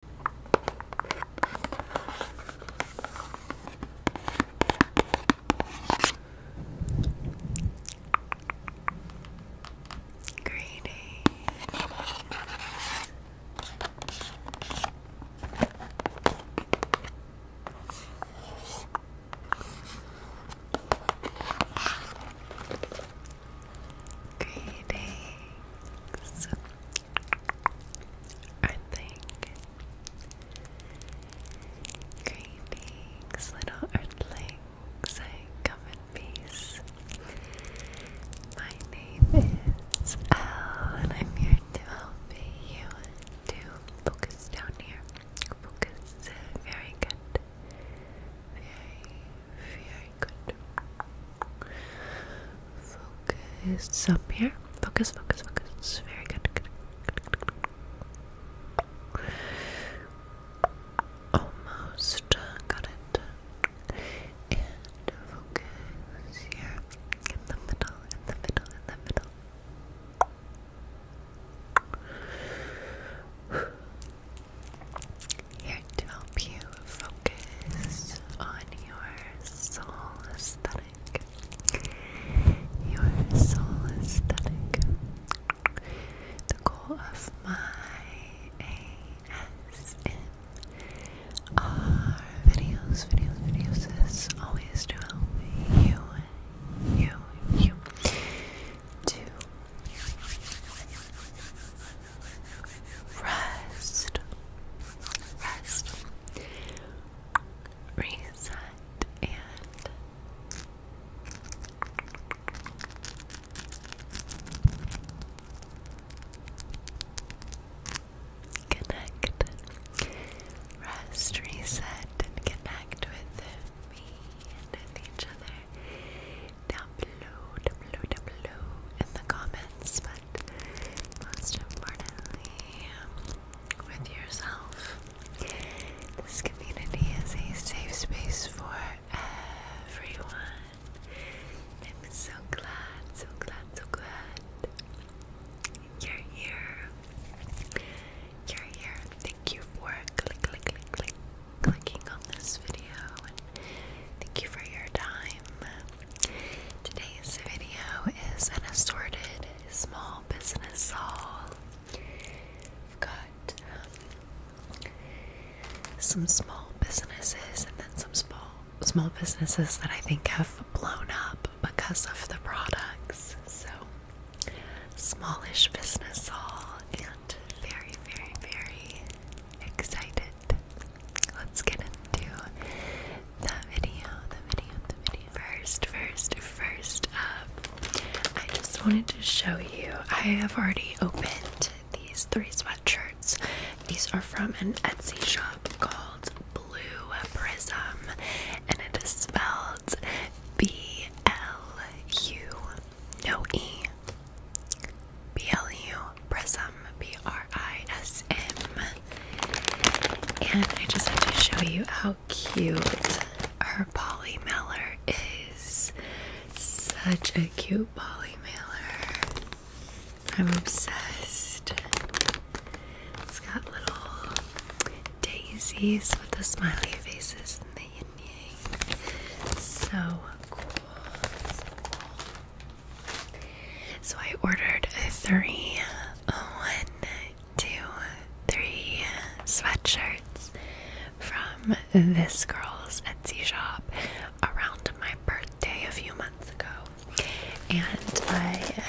Greedy. Greetings. I Greetings, little earthlings. I come in peace. My name is Elle, and I'm here to help you to focus down here. Focus. Very good. Very, Focus. up here. Focus, focus, focus. It's very good. good. Almost got it. And focus here. In the middle, in the middle, in the middle. Here to help you focus on your soul aesthetic. Your soul aesthetic. The goal of my ASMR videos, videos, videos is always to help you, you, you to Rest. Rest. Reset and connect. Rest, reset, and connect with me and each other down below, down below, down below in the comments. But most importantly, with yourself. This community is a safe space for everyone. I'm so glad, so glad, so glad you're here. You're here. Thank you for click, click, click, click, clicking on this video. thank you for your time. Today's video is an assorted small business haul. I've got some small businesses and then some small small businesses that I think have blown up because of the products. So smallish business haul and very very very excited Let's get into that video, the video, the video. First, first, first up, I just wanted to show you. I have already opened these three sweatshirts. These are from an Etsy shop called Blue Prism, and it is spelled B L U, no E. B L U Prism, B R I S M. And I just have to show you how cute our Polly Mailer is. Such a cute Polly Mailer. I'm obsessed. It's got little daisies with the smiley faces and the yin yang. So cool. So I ordered a three, sweatshirts from this girl's Etsy shop around my birthday a few months ago, and I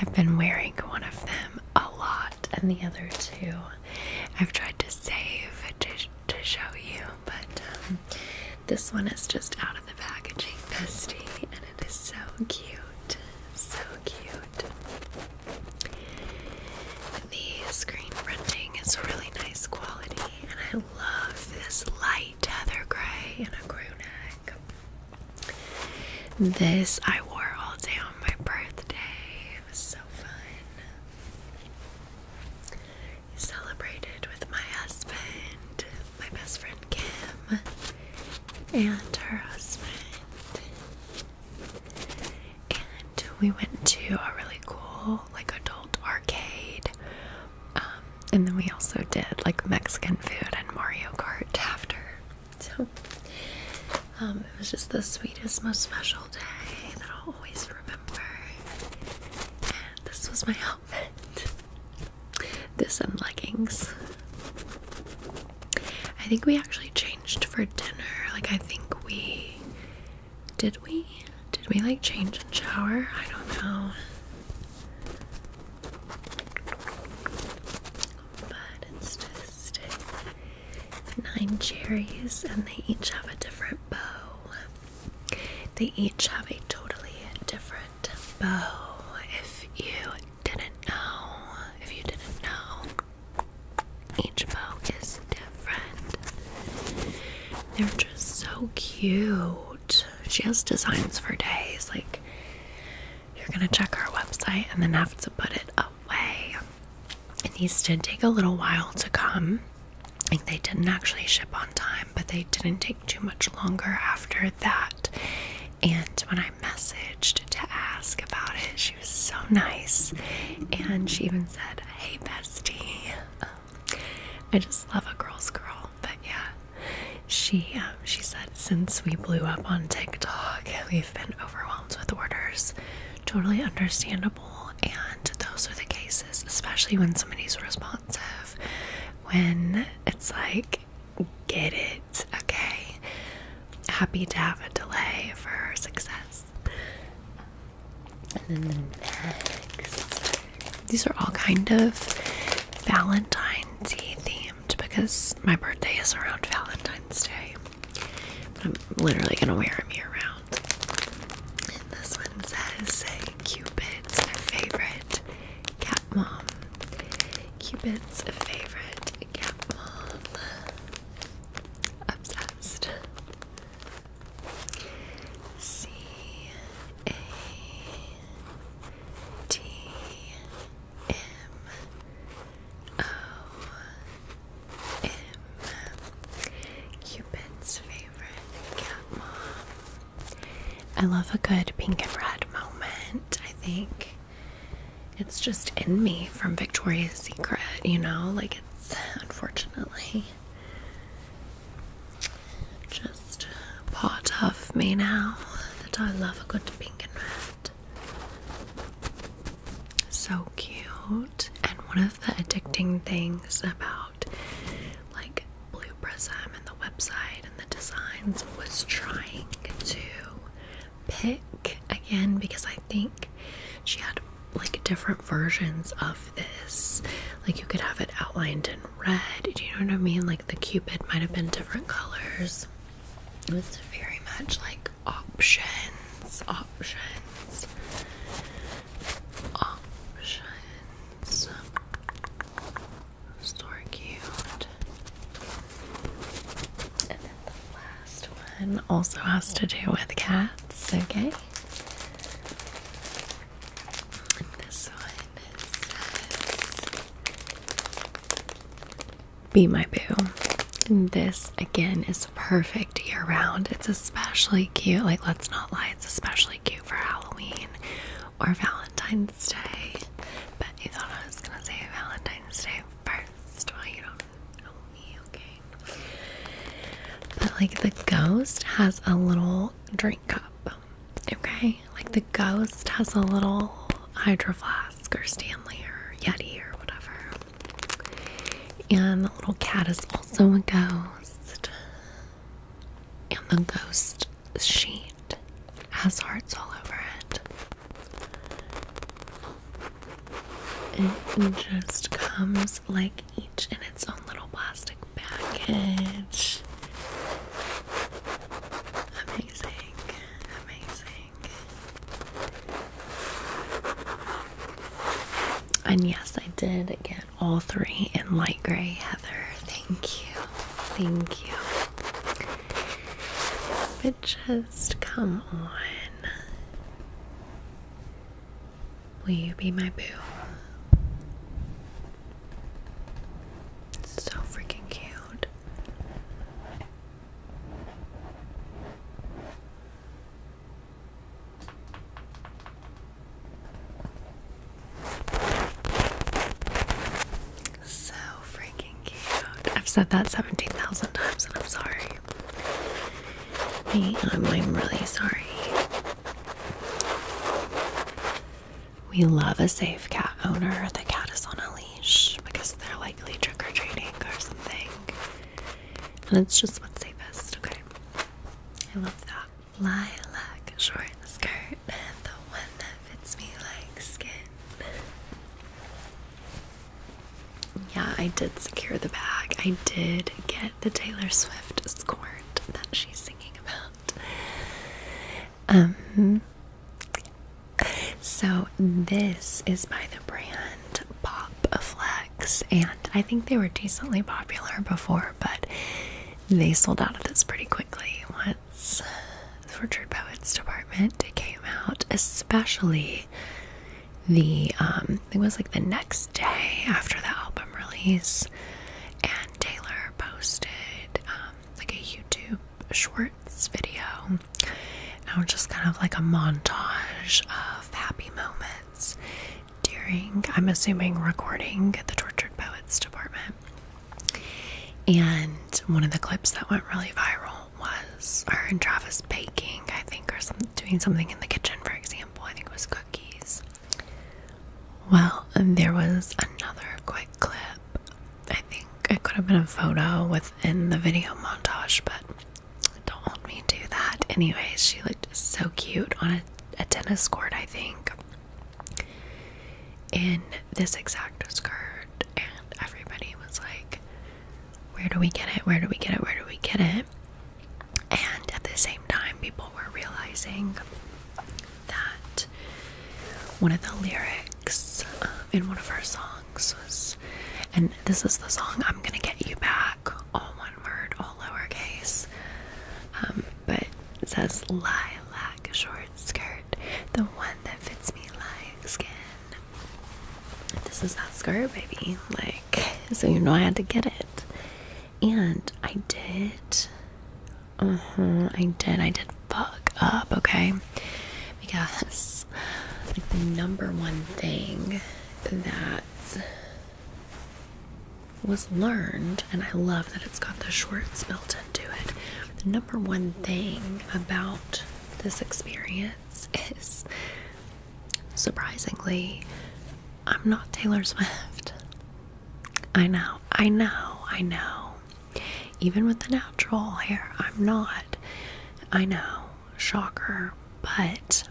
I've been wearing one of them a lot, and the other two I've tried to save to to show you, but um, this one is just out of the packaging, bestie, and it is so cute. So cute. The screen printing is really nice quality, and I love this light heather gray and a crew neck. This I wore all day on my birthday. It was so fun celebrated with my husband, my best friend Kim, and her husband. And we went to a really cool, like, adult arcade. Um, and then we also did, like, Mexican food and Mario Kart after. So, um, it was just the sweetest, most special day that I'll always remember. And this was my outfit. This and leggings. I think we actually changed for dinner. Like I think we did we? Did we like change and shower? I don't know. But it's just nine cherries and they each have a different bow. They each have a totally different bow. If you didn't know, if you didn't know, each bow is different. They're just so cute. She has designs for days. Like, you're gonna check her website and then have to put it away. It needs to take a little while to come. Like, they didn't actually ship on time, but they didn't take too much longer after that. And when I messaged to ask about it, she was so nice. And she even said, Hey, bestie. Um, I just love a girl's girl. But yeah, she, um, she said, Since we blew up on TikTok, we've been overwhelmed with orders. Totally understandable. And those are the cases, especially when somebody's responsive. When it's like, get it, okay? Happy to have a delay for success. And then the next, these are all kind of Valentine's Day themed because my birthday is around Valentine's Day. I'm literally gonna wear them year round. And this one says Cupid's favorite cat mom. Cupid's favorite Catmon. Obsessed. C A T M O M Cupid's favorite cat mom I love a good pink and red moment. I think it's just in me from Victoria's Secret, you know? Like, it's unfortunately just part of me now that I love a good pink and red. So cute. And one of the addicting things about like Blue Prism and the website and the designs was trying to pick again because I think she had like different versions of this. Like you could have it outlined in red. Do you know what I mean? Like the cupid might have been different colors. It was very much like options, options, options. Store cute. And then the last one also has to do with cats, okay? this one says Be My Boo. And this again is perfect year round. It's especially cute. Like, let's not lie, it's especially cute for Halloween or Valentine's Day. But you thought I was gonna say Valentine's Day first. Well, you don't know me, okay? But like the ghost has a little drink cup, okay? Like the ghost has a little hydro flask or Stanley or Yeti or whatever. And the little cat is also a ghost. And the ghost, she has hearts all over it. It just comes like each in its own little plastic package. Amazing, amazing. And yes, I did get all three in light gray, Heather. Thank you, thank you. But just come on. Will you be my boo? so freaking cute. So freaking cute. I've said that 17,000 times and I'm sorry. I'm, I'm really sorry. We love a safe cat owner. The cat is on a leash because they're likely trick or treating or something. And it's just what's safest, okay? I love that. Lilac short skirt. Yeah, I did secure the bag. I did get the Taylor Swift squirt that she's singing about. Um so this is by the brand Pop Flex and I think they were decently popular before, but they sold out of this pretty quickly. What the Tortured Poets Department It came out, especially the um it was like the next day after the album release and Taylor posted um like a YouTube shorts video now just kind of like a montage of happy moments during I'm assuming recording at the Tortured Poets Department and one of the clips that went really viral was her and Travis baking, I think, or doing something in the kitchen, for example. I think it was cookies. Well, there was another quick clip. I think it could have been a photo within the video montage, but don't hold me to that. Anyways, she looked so cute on a tennis court, I think in this exact skirt, and everybody was like, Where do we get it? Where do we get it? Where do we get it? And at the same time, people were realizing that one of the lyrics uh, in one of her songs was, and this is the song I'm gonna get you back, all one word, all lowercase. Um, but it says lilac, short skirt, the one that fits me like skin. This is that skirt, baby. Like, so you know I had to get it. And I did. Uh huh. I did. I did fuck up, okay? Because, like, the number one thing that was learned, and I love that it's got the shorts built in to it. The number one thing about this experience is surprisingly, I'm not Taylor Swift. I know, I know, I know. Even with the natural hair, I'm not. I know, shocker, but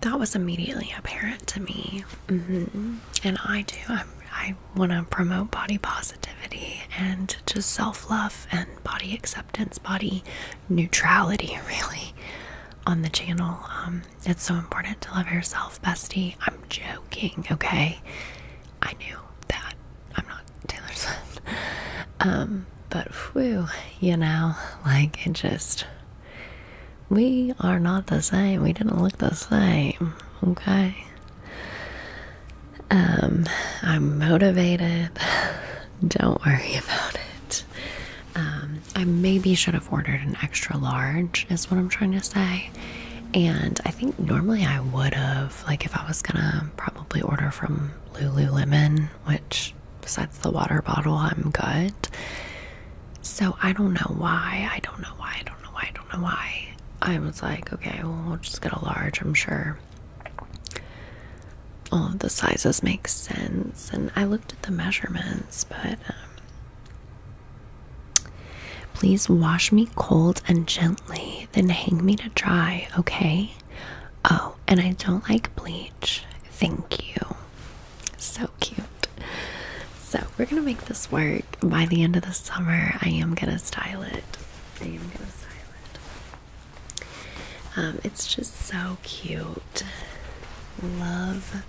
that was immediately apparent to me. Mm-hmm. And I do. I'm, I want to promote body positivity and just self love and body acceptance, body neutrality, really, on the channel. Um, it's so important to love yourself, bestie. I'm joking, okay? I knew that. I'm not Taylor Swift. Um, but whew, you know, like it just. We are not the same. We didn't look the same. Okay. Um, I'm motivated. Don't worry about it. Um, I maybe should have ordered an extra large, is what I'm trying to say. And I think normally I would have, like, if I was gonna probably order from Lululemon, which besides the water bottle, I'm good. So I don't know why. I don't know why. I don't know why. I don't know why I was like, okay, we'll just get a large, I'm sure. All of the sizes make sense, and I looked at the measurements, but um, please wash me cold and gently, then hang me to dry, okay? Oh, and I don't like bleach. Thank you. So cute. So, we're gonna make this work by the end of the summer. I am gonna style it. I am silent. Um, it's just so cute. Love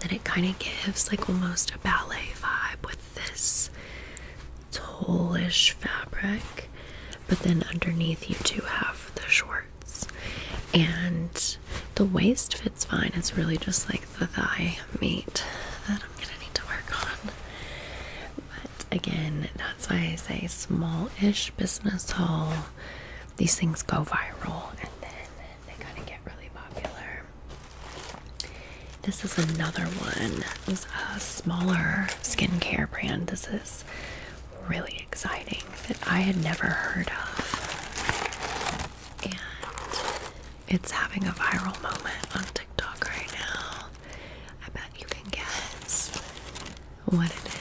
that it kind of gives like almost a ballet vibe with this tulle-ish fabric, but then underneath you do have the shorts, and the waist fits fine. It's really just like the thigh meet. Uh, I'm gonna need to work on. But again, that's why I say small-ish business haul. These things go viral and then they kind of get really popular. This is another one. This is a smaller skincare brand. This is really exciting that I had never heard of. And it's having a viral moment on TikTok right now. I bet you can guess what it is.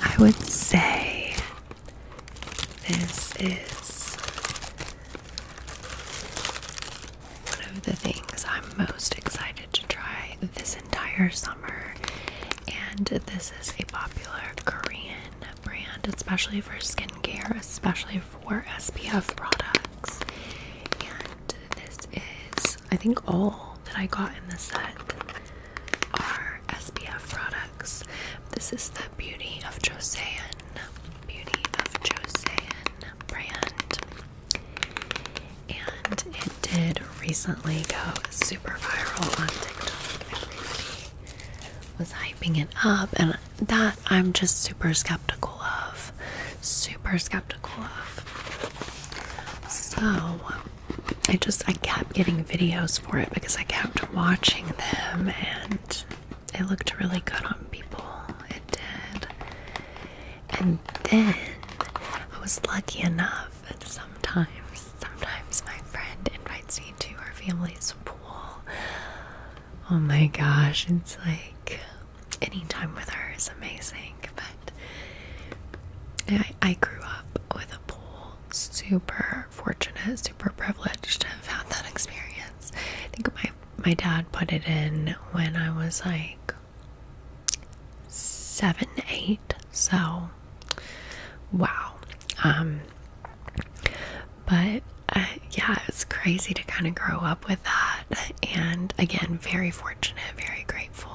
I would say this is one of the things I'm most excited to try this entire summer, and this is a popular Korean brand, especially for skincare, especially for SPF products. And this is, I think, all that I got in the set are SPF products. This is the Beauty of Josean, Beauty of Josean brand. And it did recently go super viral on TikTok. Everybody was hyping it up, and that I'm just super skeptical of. Super skeptical of. So I just I kept getting videos for it because I kept watching them and it looked really good on people. It did. And then I was lucky enough that sometimes, sometimes my friend invites me to her family's pool. Oh my gosh, it's like any time with her is amazing. But I, grew up with a pool, super fortunate, super privileged to have had that experience. I think my my dad put it in when I was like seven, eight. So wow. Um, but uh, yeah, it's crazy to kind of grow up with that. And again, very fortunate, very grateful.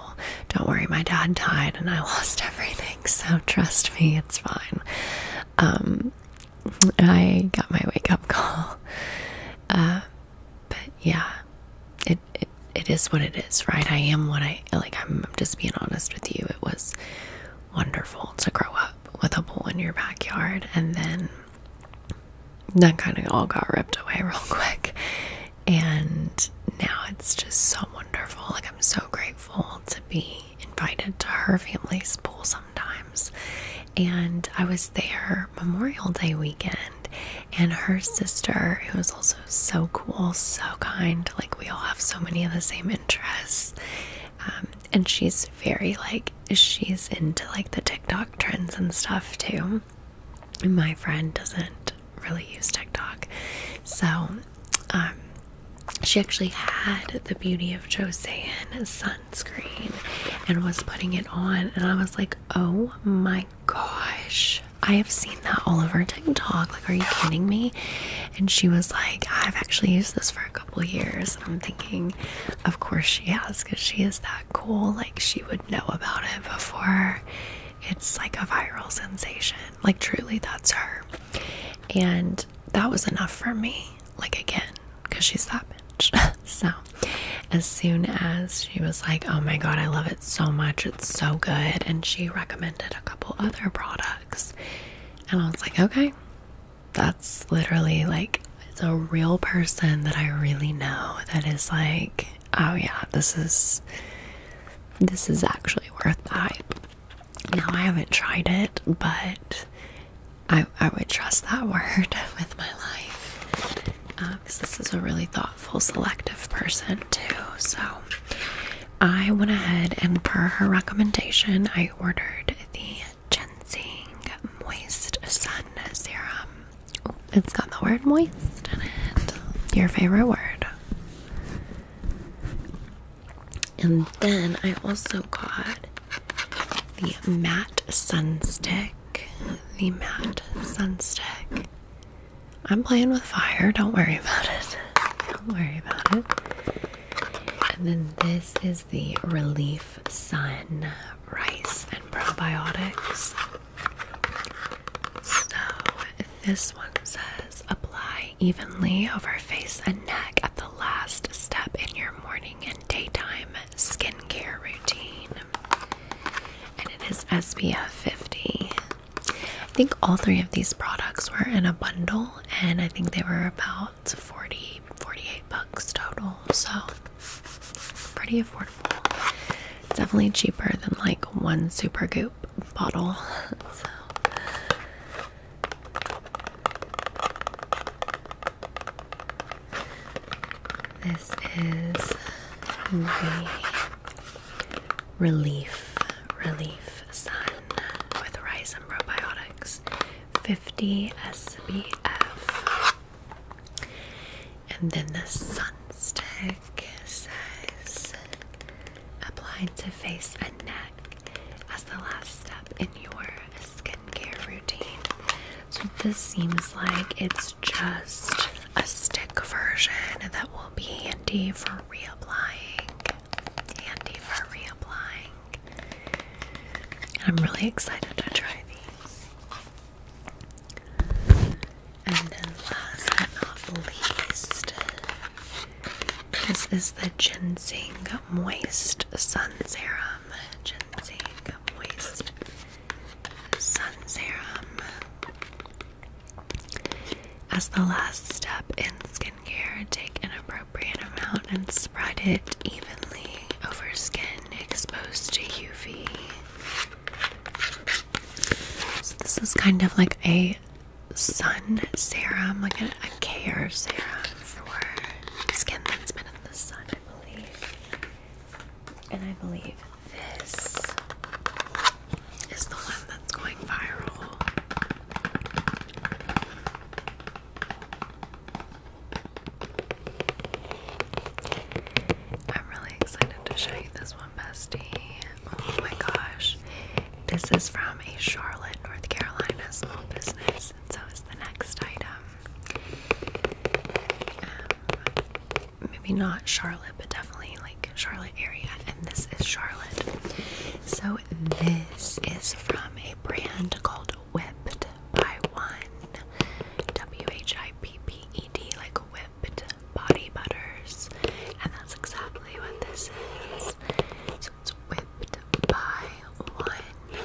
Don't worry, my dad died and I lost everything. So trust me, it's fine. Um, I got my wake up call. Uh, but yeah, it, it it is what it is, right? I am what I like. I'm just being honest with you. It was wonderful to grow up with a bull in your backyard and then that kind of all got ripped away real quick. And now it's just so wonderful. Like, I'm so grateful to be invited to her family's pool sometimes. And I was there Memorial Day weekend, and her sister, who was also so cool, so kind, like, we all have so many of the same interests. Um, and she's very, like, she's into like the TikTok trends and stuff too. My friend doesn't really use TikTok, so um, she actually had the Beauty of Joseon sunscreen and was putting it on, and I was like, oh my gosh. I have seen that all over TikTok. Like, are you kidding me? And she was like, I've actually used this for a couple years. And I'm thinking, of course she has, because she is that cool like she would know about it before it's like a viral sensation like truly that's her and that was enough for me like again because she's that bitch so as soon as she was like oh my god i love it so much it's so good and she recommended a couple other products and i was like okay that's literally like it's a real person that I really know that is like, oh yeah, this is this is actually worth the hype. Now I haven't tried it, but I I would trust that word with my life because um, this is a really thoughtful, selective person too. So I went ahead and per her recommendation, I ordered the Ginseng Moist Sun Serum. Oh, it's got the word moist in it. Your favorite word. And then I also got the matte stick. The matte stick. I'm playing with fire. Don't worry about it. Don't worry about it. And then this is the Relief Sun rice and probiotics. So, this one says apply evenly over face and neck at the last step in your morning and daytime skincare routine. And it is SPF 50. I think all three of these products were in a bundle, and I think they were about 40, bucks total, so pretty affordable. definitely cheaper than like one super goop bottle. So this is Relief Relief Sun with Ricin Probiotics 50 SPF. And then the sun stick is applied to face and neck as the last step in your skincare routine. So this seems like it's just a stick version that will be handy for reapplying. Handy for reapplying. I'm really excited to try these. And then last but not least, this is the Ginseng Moist Sun Serum. Ginseng Moist Sun Serum. As the last step in skincare, take an appropriate amount and spread it evenly over skin exposed to UV. So this is kind of like a sun serum, like a, a care serum for skin that's been in the sun, I believe. And I believe this is the one that's going viral. I'm really excited to show you this one, bestie. Oh my gosh. This is from a Charlotte, North Carolina small business, so is the next item. Um, maybe not Charlotte, but definitely like Charlotte area, and this is Charlotte. So, this is from a brand called whipped by one. W H I P P E D, like whipped body butters. And that's exactly what this is. So it's whipped by one.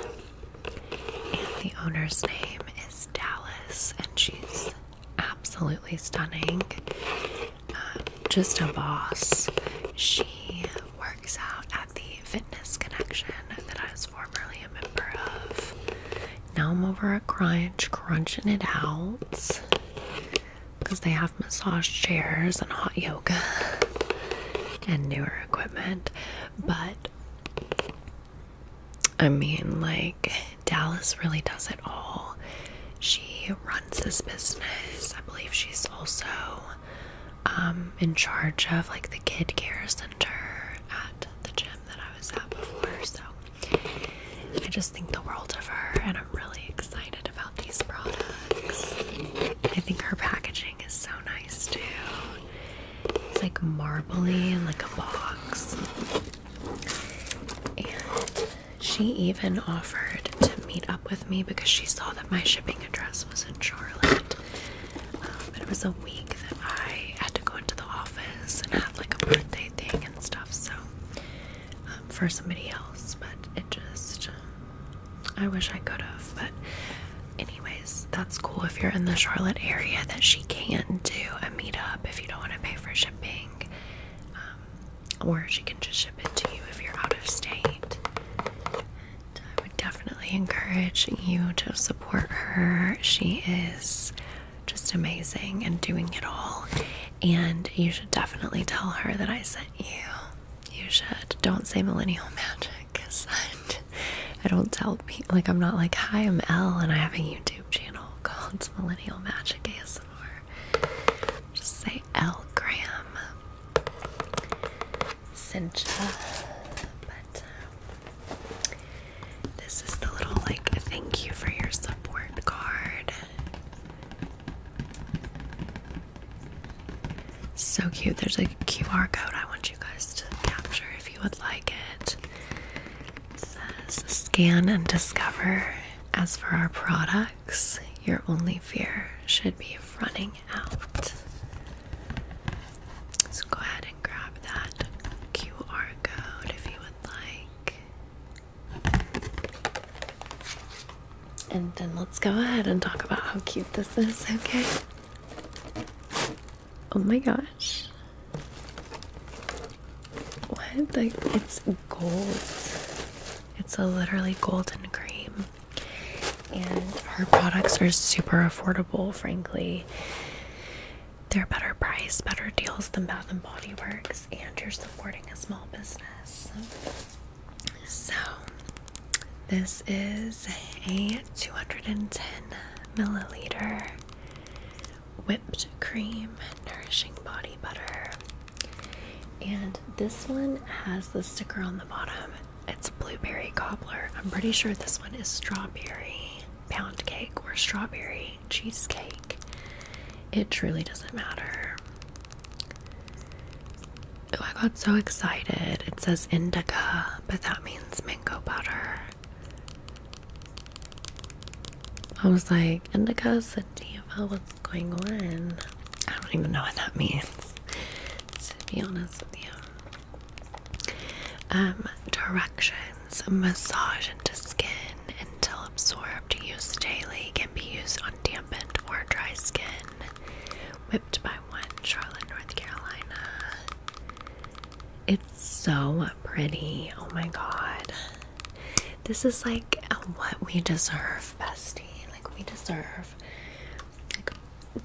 And the owner's name is Dallas, and she's absolutely stunning. Um, just a boss. She works out at the fitness connection that I was formerly a member of. Now I'm over at Crunch, crunching it out because they have massage chairs and hot yoga and newer equipment. But I mean, like, Dallas really does it all. She runs this business. I believe she's also um, in charge of like the kid care center at the gym that I. I was at before. So I just think the world of her, and I'm really excited about these products. I think her packaging is so nice too. It's like marbly and like a box. And she even offered to meet up with me because she saw that my shipping address was in Charlotte. Um, but it was a week that I had to go into the office and have like a birthday thing and stuff. So um, for somebody else, but it just I wish I could have. But anyways, that's cool if you're in the Charlotte area that she can do a meetup if you don't want to pay for shipping. Um, or she can just ship it to you if you're out of state. I would definitely encourage you to support her. She is just amazing and doing it all. And you should definitely tell her that I sent you. You should. Don't say millennial magic because I don't tell people. Like, I'm not like, hi, I'm L, and I have a YouTube channel called Millennial Magic ASMR. Just say L Graham. Cincha. But. Um, this is the little like thank you for your support card. So cute. There's a QR code I want you guys to capture if you would like it. It says scan and discover. As for our products, your only fear should be running out. So go ahead grab that QR code if you would like. And then let's go ahead and talk about how cute this is, okay? Oh my gosh. What? Like, it's gold. It's a literally golden cream. And her products are super affordable, frankly. They're better price, better deals than Bath and Body Works, and you're supporting a small business. So, this is a 210 milliliter whipped cream nourishing body butter, and this one has the sticker on the bottom. It's blueberry cobbler. I'm pretty sure this one is strawberry pound cake or strawberry cheesecake. It truly doesn't matter. Oh, I got so excited. It says indica, but that means mango butter. I was like, indica sativa, what's going on? I don't even know what that means, to be honest with you. Um, directions massage into skin until absorbed. Use daily. Can be used on dampened or dry skin. Whipped by one, Charlotte, North Carolina. It's so pretty. Oh my god. This is like what we deserve, bestie. Like, we deserve. Like,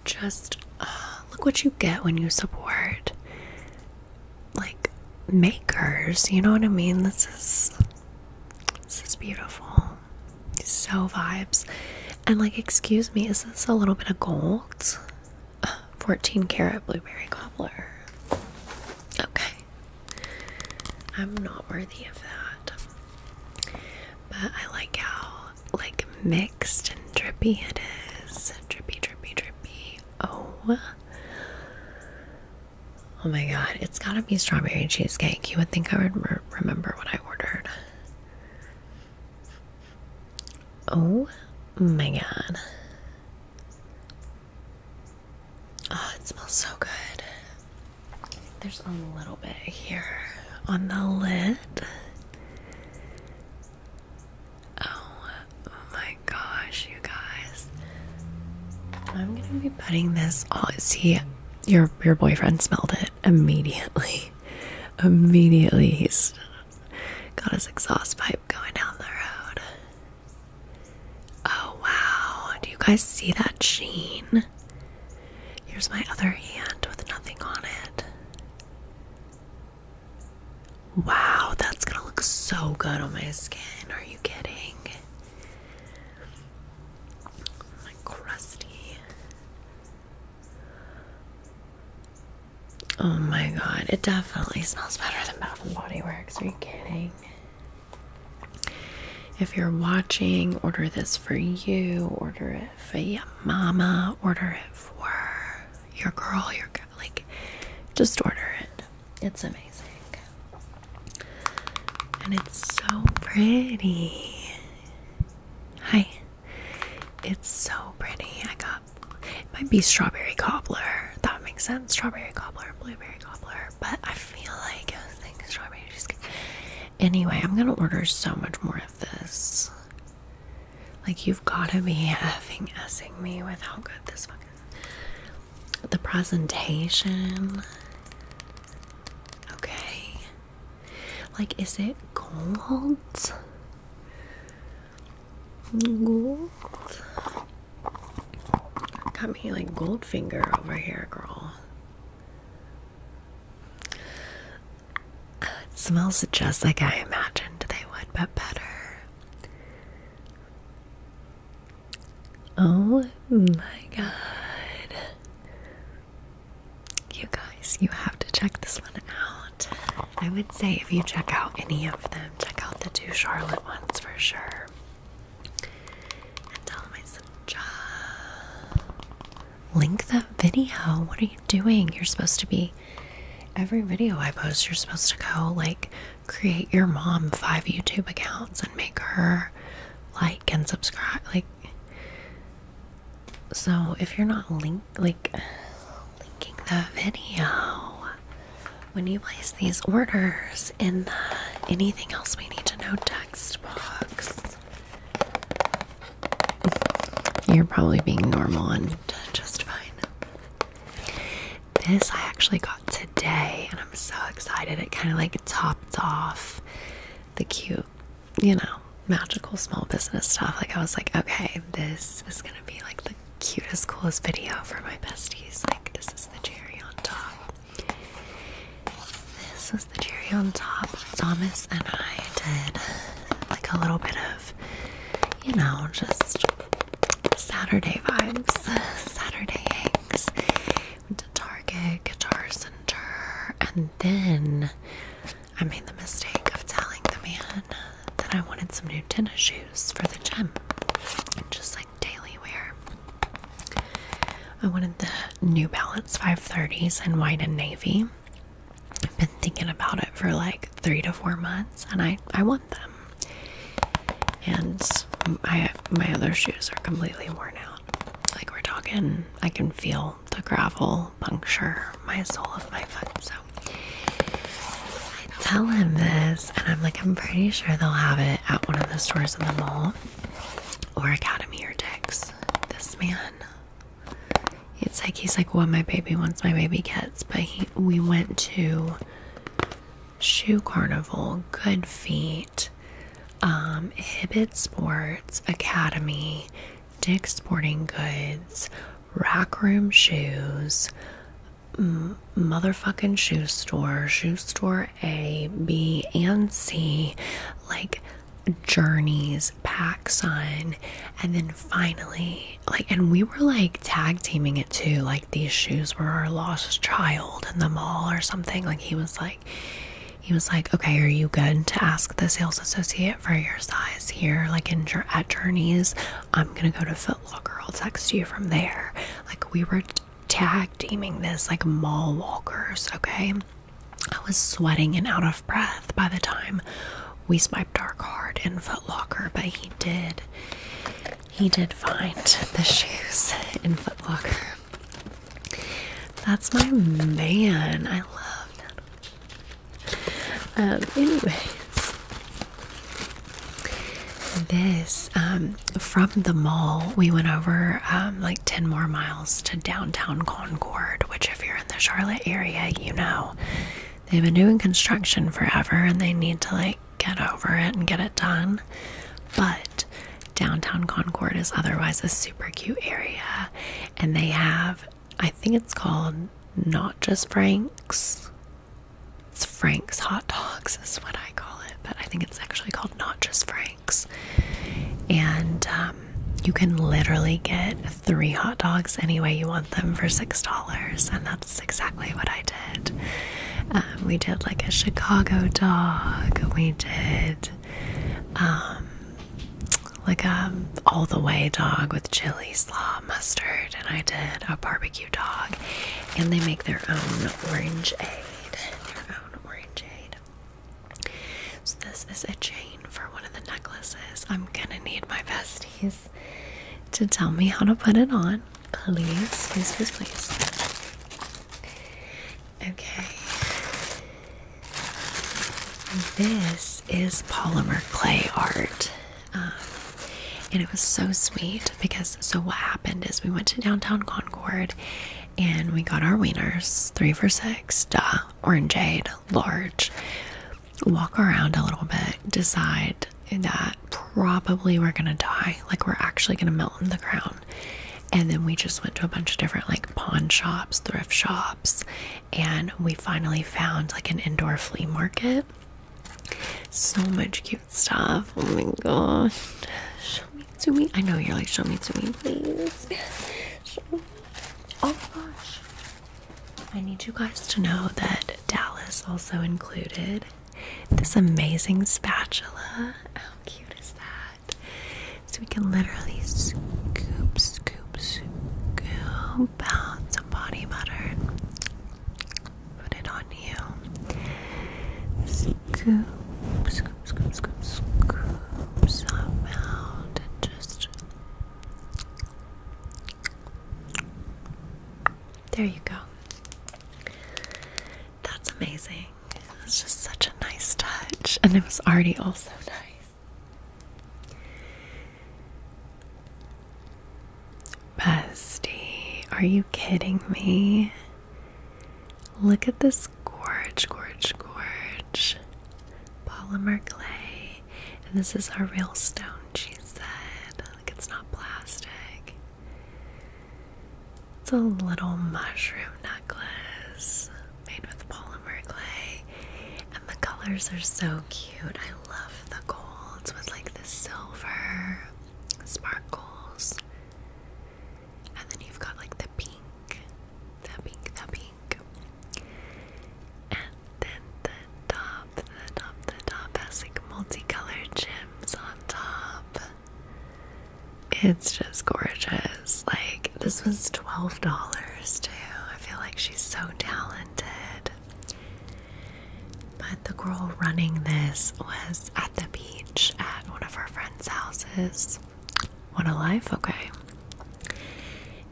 just uh, look what you get when you support like makers, you know what I mean? This is this is beautiful. So vibes. And like excuse me, is this a little bit of gold? 14 karat blueberry cobbler. Okay. I'm not worthy of that. But I like how like mixed and drippy it is. Drippy, drippy, drippy. Oh. Oh my god, it's gotta be strawberry cheesecake. You would think I would remember what I ordered. Oh my god. Oh, it smells so good. There's a little bit here on the lid. Oh, oh my gosh, you guys. I'm gonna be putting this Oh, see your your boyfriend smelled it immediately. Immediately he's got his exhaust pipe going down the road. Oh wow. Do you guys see that sheen? Here's my other hand with nothing on it. Wow, that's gonna look so good on my skin. Are you kidding? My crusty. Oh my god, it definitely smells better than Bath and Body Works. Are you kidding? If you're watching, order this for you, order it for your mama, order it for your girl, your guy. Like, just order it. It's amazing. And it's so pretty. Hi. It's so pretty. I got it might be strawberry cobbler. That makes sense. Strawberry cobbler and blueberry cobbler. But I feel like I was like strawberry cheesecake. Anyway, I'm gonna order so much more of this. Like you've gotta be effing essing me with how good this the presentation. Okay. Like, is it gold? Gold? Got me like gold finger over here, girl. It smells just like I imagined they would, but better. Oh my god. You guys, you have to check this one out. I would say if you check out any of them, check out the two Charlotte ones for sure. And tell my son, link the video. What are you doing? You're supposed to be, every video I post, you're supposed to go like create your mom five YouTube accounts and make her like and subscribe. Like, so if you're not linked, like linking the video when you place these orders in the anything else we need to know text box. You're probably being normal and just fine. This I actually got today, and I'm so excited. It kind of like topped off the cute, you know, magical small business stuff. Like, I was like, okay, this is gonna be like the cutest, coolest video for my besties. Like, this is the cherry on top. This was the cherry on top. Thomas and I did like a little bit of, you know, just Saturday vibes, Saturday hangs. Went to Target, Guitar Center, and then I made the mistake of telling the man that I wanted some new tennis shoes for the gym, just like daily wear. I wanted the New Balance 530s in white and navy. I've been thinking about it for like three to four months, and I I want them and my my other shoes are completely worn out. Like we're talking, I can feel the gravel puncture my sole of my foot. So I tell him this, and I'm like, I'm pretty sure they'll have it at one of the stores in the mall or Academy or Dick's. This man, it's like he's like, what my baby wants, my baby gets. But he, we went to shoe carnival, Good Feet, um, Sports Academy, Dick Sporting Goods, Rack Room Shoes, Motherfucking Shoe Store, Shoe Store A, B, and C, like Journeys, Pack and then finally, like, and we were like tag teaming it too. Like these shoes were our lost child in the mall or something. Like he was like, he was like, okay, are you good to ask the sales associate for your size here? Like in at Journeys, I'm gonna go to Foot Locker. I'll text you from there. Like we were tag teaming this like mall walkers. Okay, I was sweating and out of breath by the time we swiped our card in Foot Locker, but he did he did find the shoes in Footlocker. That's my man. I love that. Um, anyways, this um, from the mall, we went over um, like 10 more miles to downtown Concord, which, if you're in the Charlotte area, you know they've been doing construction forever and they need to like get over it and get it done. But downtown Concord is otherwise a super cute area, and they have, I think it's called not just Frank's, it's Frank's Hot Dogs, is what I call it, but I think it's actually called Not Just Frank's. And um, you can literally get three hot dogs any way you want them for $6, and that's exactly what I did. Um, we did like a Chicago dog. We did um, like a all the way dog with chili, slaw, mustard, and I did a barbecue dog. And they make their own orange aid. Their own orange aid. So this is a chain for one of the necklaces. I'm gonna need my besties to tell me how to put it on. Please, please, please, Okay. This is polymer clay art. Um, and it was so sweet because so what happened is we went to downtown Concord and we got our wieners, three for six, duh, orangeade, large. Walk around a little bit, decide that probably we're gonna die. Like we're actually gonna melt in the ground. And then we just went to a bunch of different like pawn shops, thrift shops, and we finally found like an indoor flea market. So much cute stuff. Oh my gosh. Show me to me. I know you're like, show me to me, please. Oh my gosh. I need you guys to know that Dallas also included this amazing spatula. How cute is that? So we can literally scoop, scoop, scoop out some body butter. Put it on you. Scoop, scoop, scoop, scoop, scoop some out and just. There you go. That's amazing. It's just such a nice touch. And it was already also nice. Bestie, are you kidding me? Look at this gorge, gorge, gorge. Polymer clay. And this is our real stone, she said. Like it's not plastic. It's a little mushroom necklace made with polymer clay. And the colors are so cute. I love the golds with like the silver sparkles. And then you've got like the pink, the pink, the pink. And then the top, the top, the top has like multicolored gems on top. It's just gorgeous. Like, this was $12 too. I feel like she's so talented. But the girl running this was at the beach at one of her friends' houses. What a life, okay.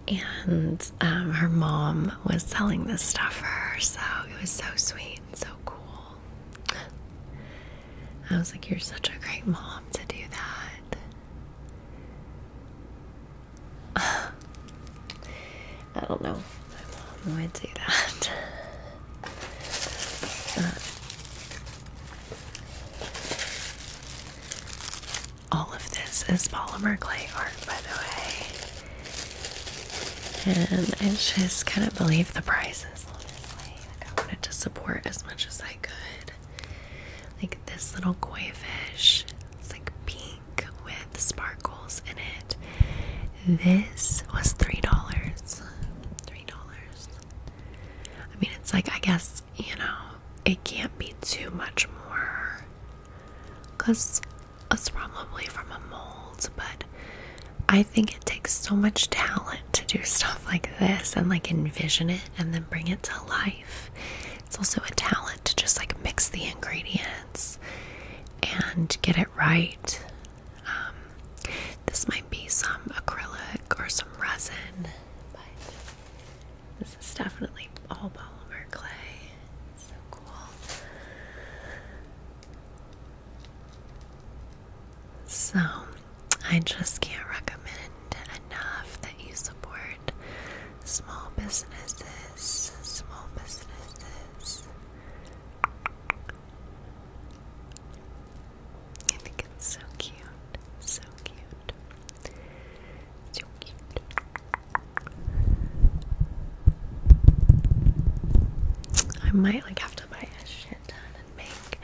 And um, her mom was selling this stuff for her, so it was so sweet and so cool. I was like, You're such a great mom to do that. I don't know. My mom would do that. all of this is polymer clay art, by the way. And I just couldn't believe the prices, like I wanted to support as much as I could. Like this little koi fish, it's like pink with sparkles in it. This was three dollars. Three dollars. I mean, it's like I guess you know it can't be too much more, cause it's probably from a mold, but I think it takes so much talent to do stuff like this and like envision it and then bring it to life. It's also a talent to just like mix the ingredients and get it right. Um, this might be some acrylic or some resin, but this is definitely all polymer clay. It's so cool. So, I just can't recommend enough that you support small businesses, small businesses. I think it's so cute, so cute, so cute. I might like have to buy a shit ton make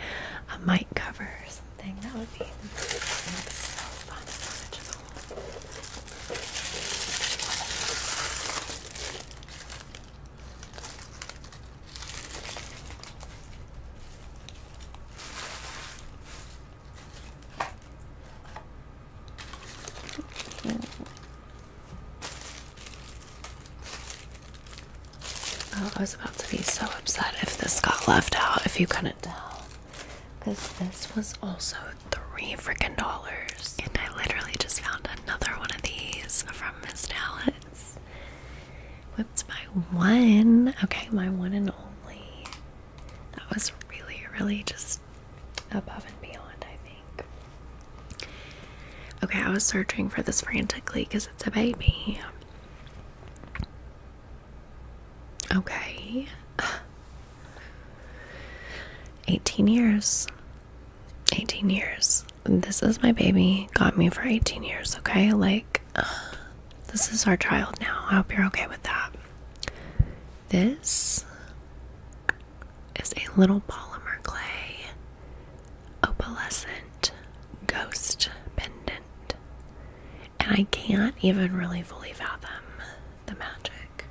a mic cover or something. That would be so fun and original. Oh, I was about to be so upset if this got left out, if you couldn't tell. Because this was also three frickin' dollars. And I literally just found another one of these from Miss Dallas. What's my one? Okay, my one and only. That was really, really just above and beyond, I think. Okay, I was searching for this frantically because it's a baby. Okay. 18 years. 18 years. This is my baby. Got me for 18 years, okay? Like, this is our child now. I hope you're okay with that. This is a little polymer clay opalescent ghost pendant. And I can't even really fully fathom the magic.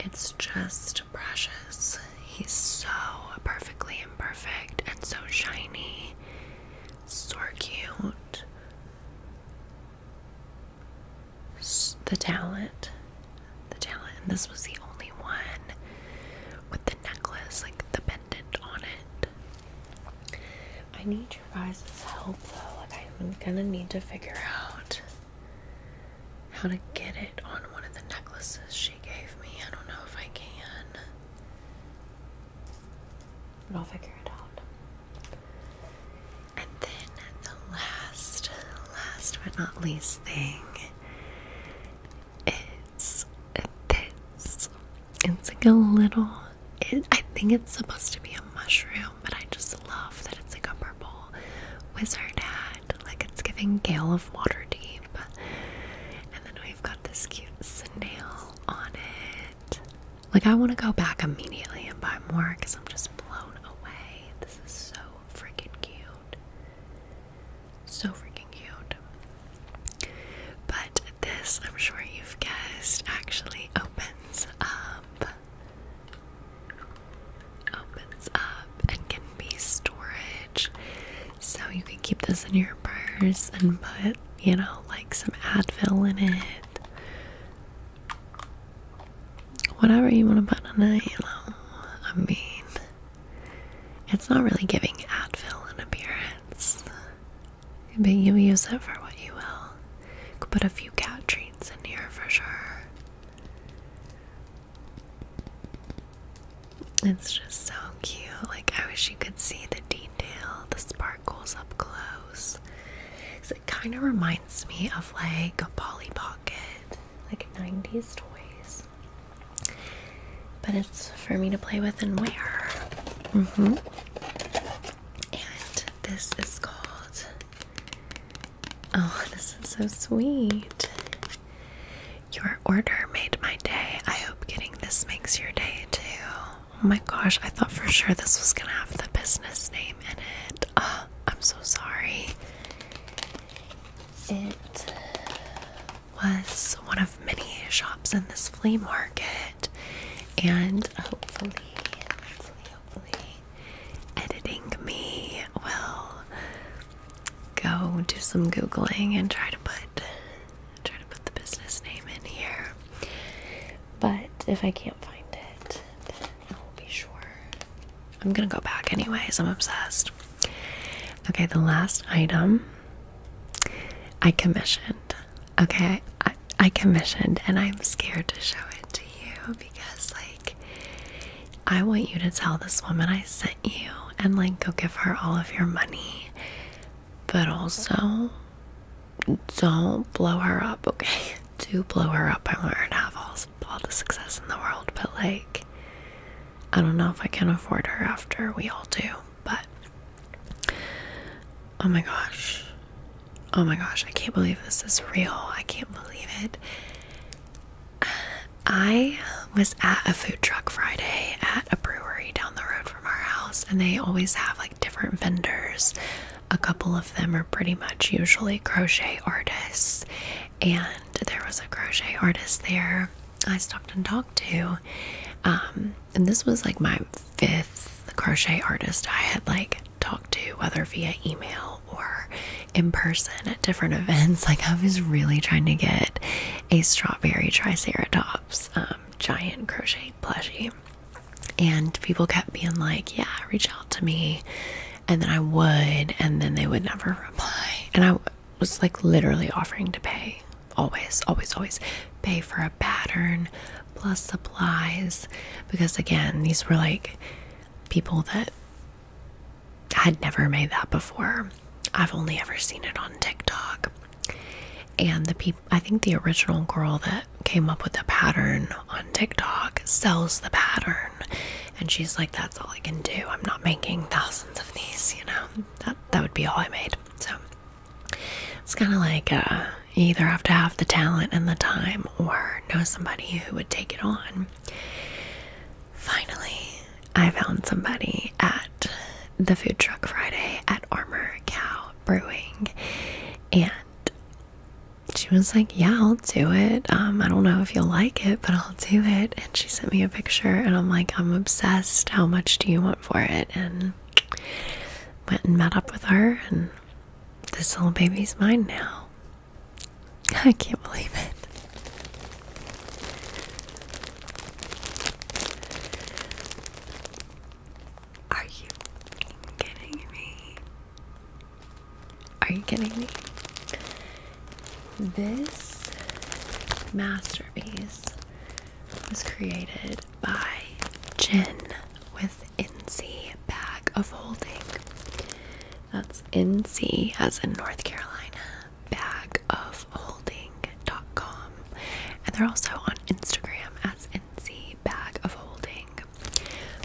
It's just precious. He's so perfectly imperfect and so shiny, so cute. The talent, the talent, and this was the only one with the necklace, like the on it. I need your guys' help though. Like I'm gonna need to figure out how to get it on one of the necklaces she gave me. I don't know if I can. But I'll figure it out. And then the last, last but not least thing is this. It's like a little, it, I think it's supposed to be a mushroom, but I just love that it's like a purple wizard hat. Like it's giving Gale of Waterdeep. And then we've got this cute snail on it. Like I want to go back immediately and buy more because I'm just blown away. This is so freaking cute. So freaking cute. But this, I'm sure you've guessed, actually opens up. Opens up and can be storage. So you can keep this in your purse and put, you know, like some Advil in it. Whatever you want to put in it, you know. I mean, it's not really giving Advil an appearance, but you use it for what you will. put a few cat treats in here for sure. It's just so cute. Like, I wish you could see the detail, the sparkles up close. it kind of reminds me of like a Polly Pocket, like 90s toys. But it's for me to play with and wear. Mm-hmm. And this is called. Oh, this is so sweet. Your order made my day. I hope getting this makes your day too. Oh my gosh, I thought for sure this was gonna have the business name in it. Oh, I'm so sorry. It was one of many shops in this flea market, and hopefully, hopefully, hopefully, editing me will go do some googling and try to put try to put the business name in here. But if I can't find it, I will be sure. I'm gonna go back anyways. I'm obsessed. Okay, the last item I commissioned. Okay, I, commissioned, and I'm scared to show it to you because, like, I want you to tell this woman I sent you and, like, go give her all of your money, but also don't blow her up, okay? Do blow her up. I want her to have all, all the success in the world, but, like, I don't know if I can afford her after we all do but oh my gosh. Oh my gosh, I can't believe this is real. I can't believe it. I was at a food truck Friday at a brewery down the road from our house, and they always have like different vendors. A couple of them are pretty much usually crochet artists, and there was a crochet artist there I stopped and talked to. Um, and this was like my fifth crochet artist I had like talked to, whether via email or in person at different events. Like I was really trying to get a strawberry triceratops um, giant crochet plushie. And people kept being like, yeah, reach out to me. And then I would, and then they would never reply. And I, was like literally offering to pay always, always, always pay for a pattern plus supplies because, again, these were like people that had never made that before. I've only ever seen it on TikTok. And the people, I think the original girl that came up with the pattern on TikTok sells the pattern. And she's like, that's all I can do. I'm not making thousands of these, you know. That that would be all I made. So it's kind of like uh, you either have to have the talent and the time or know somebody who would take it on. Finally, I found somebody at the Food Truck Friday at Armor Cow Brewing, and she was like, Yeah, I'll do it. Um, I don't know if you'll like it, but I'll do it. And she sent me a picture, and I'm like, I'm obsessed. How much do you want for it? and went and met up with her and this little baby's mine now. I can't believe it. Are you kidding me? Are you kidding me? This masterpiece was created by Jen with NC Bag of Holding. That's NC as in North Carolina, Bag of Holding. dot com, And they're also on Instagram as NC Bag of Holding.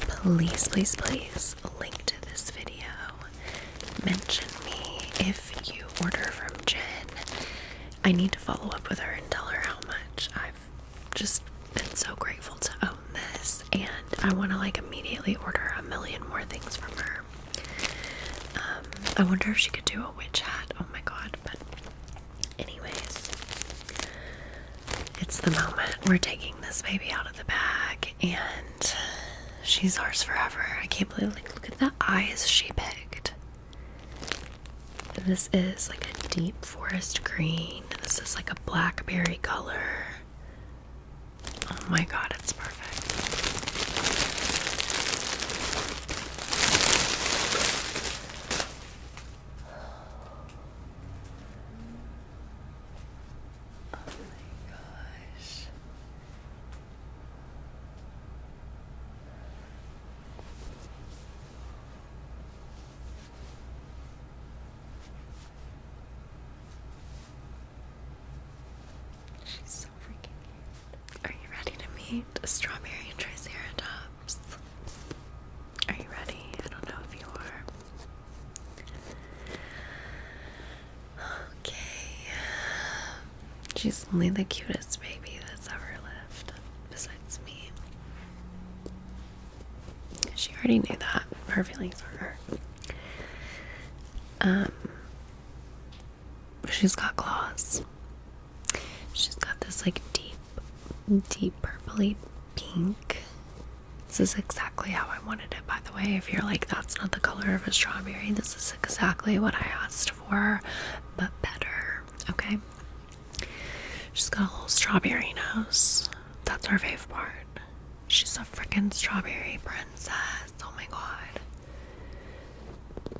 Please, please, please link to this video. Mention me if you order from Jen I need to follow up with her and tell her how much I've just been so grateful to own this, and I want to like immediately order a million more things from her. Um, I wonder if she could do a witch hat. Oh my god, but anyways, it's the moment. We're taking this baby out of the bag, and she's ours forever. I can't believe, like, look at the eyes she picked. This is like a deep forest green. This is like a blackberry color. Oh my god, it's perfect. Oh my gosh. She's so freaking cute. Are you ready to meet a strawberry and triceratops? Are you ready? I don't know if you are. Okay. She's only the cutest baby that's ever lived, besides me. She already knew that. Her feelings are hurt. Um, she's got claws. She's got this like deep, deep purpley pink. This is exactly how I wanted it, by the way. If you're like, that's not the color of a strawberry, this is exactly what I asked for, but better okay? She's got a little strawberry nose. That's her favorite part. She's a freaking strawberry princess. Oh my god.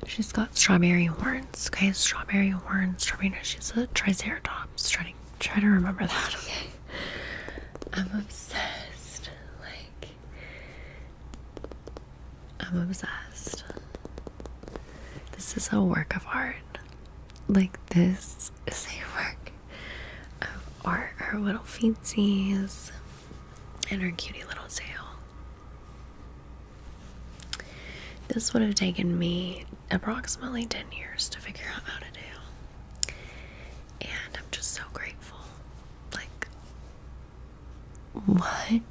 She's got strawberry horns, okay? Strawberry horns, strawberry nose. She's a triceratops. Try to, try to remember that, okay? I'm obsessed. Like, I'm obsessed. This is a work of art. Like, this is a work of art. Her little feetsies and her cutie little tail. This would have taken me approximately 10 years to figure out how to do. And I'm just so grateful. Like, what?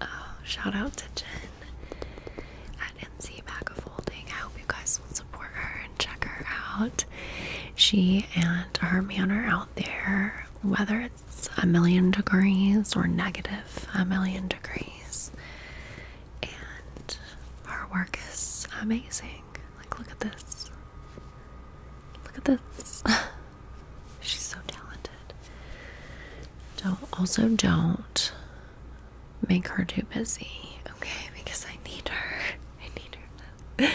Uh, shout out to Jen at NC Bagafolding. I hope you guys will support her and check her out. She and her man are out there, whether it's a million degrees or negative a million degrees. And her work is amazing. Like, look at this. Look at this. She's so talented. Don't also don't make her too busy, okay? Because I need her. I need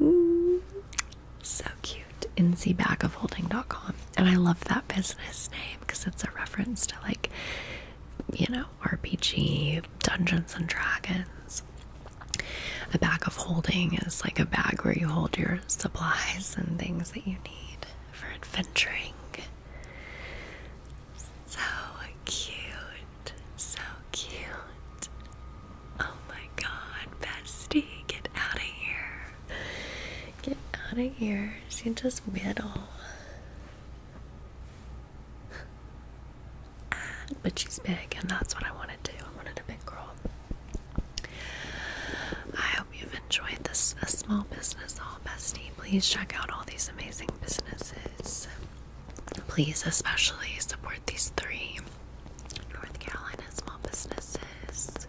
her. so cute. NCBackofHolding.com. And I love that business name because it's a reference to like, you know, RPG, Dungeons and Dragons. A bag of holding is like a bag where you hold your supplies and things that you need for adventuring. So cute, so cute. Oh my god, bestie, get out of here. Get out of here. She just whittle, ah, But she's big, and that's what I wanted to. I wanted a big girl. I hope you've enjoyed this small business haul, bestie. Please check out all these amazing businesses. Please especially support these three North Carolina small businesses.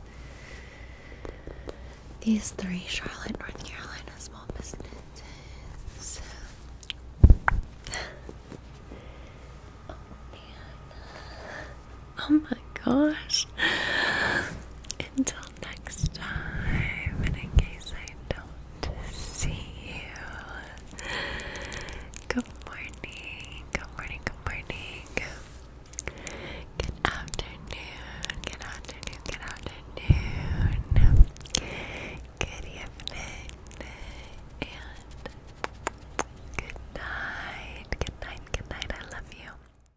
These three Charlotte, North Carolina small businesses. Oh, Oh my gosh. Until next time, and in case I don't see you, good morning, good morning, good morning, good afternoon, good afternoon, good afternoon, good evening, and good night, good night, good night. I love you.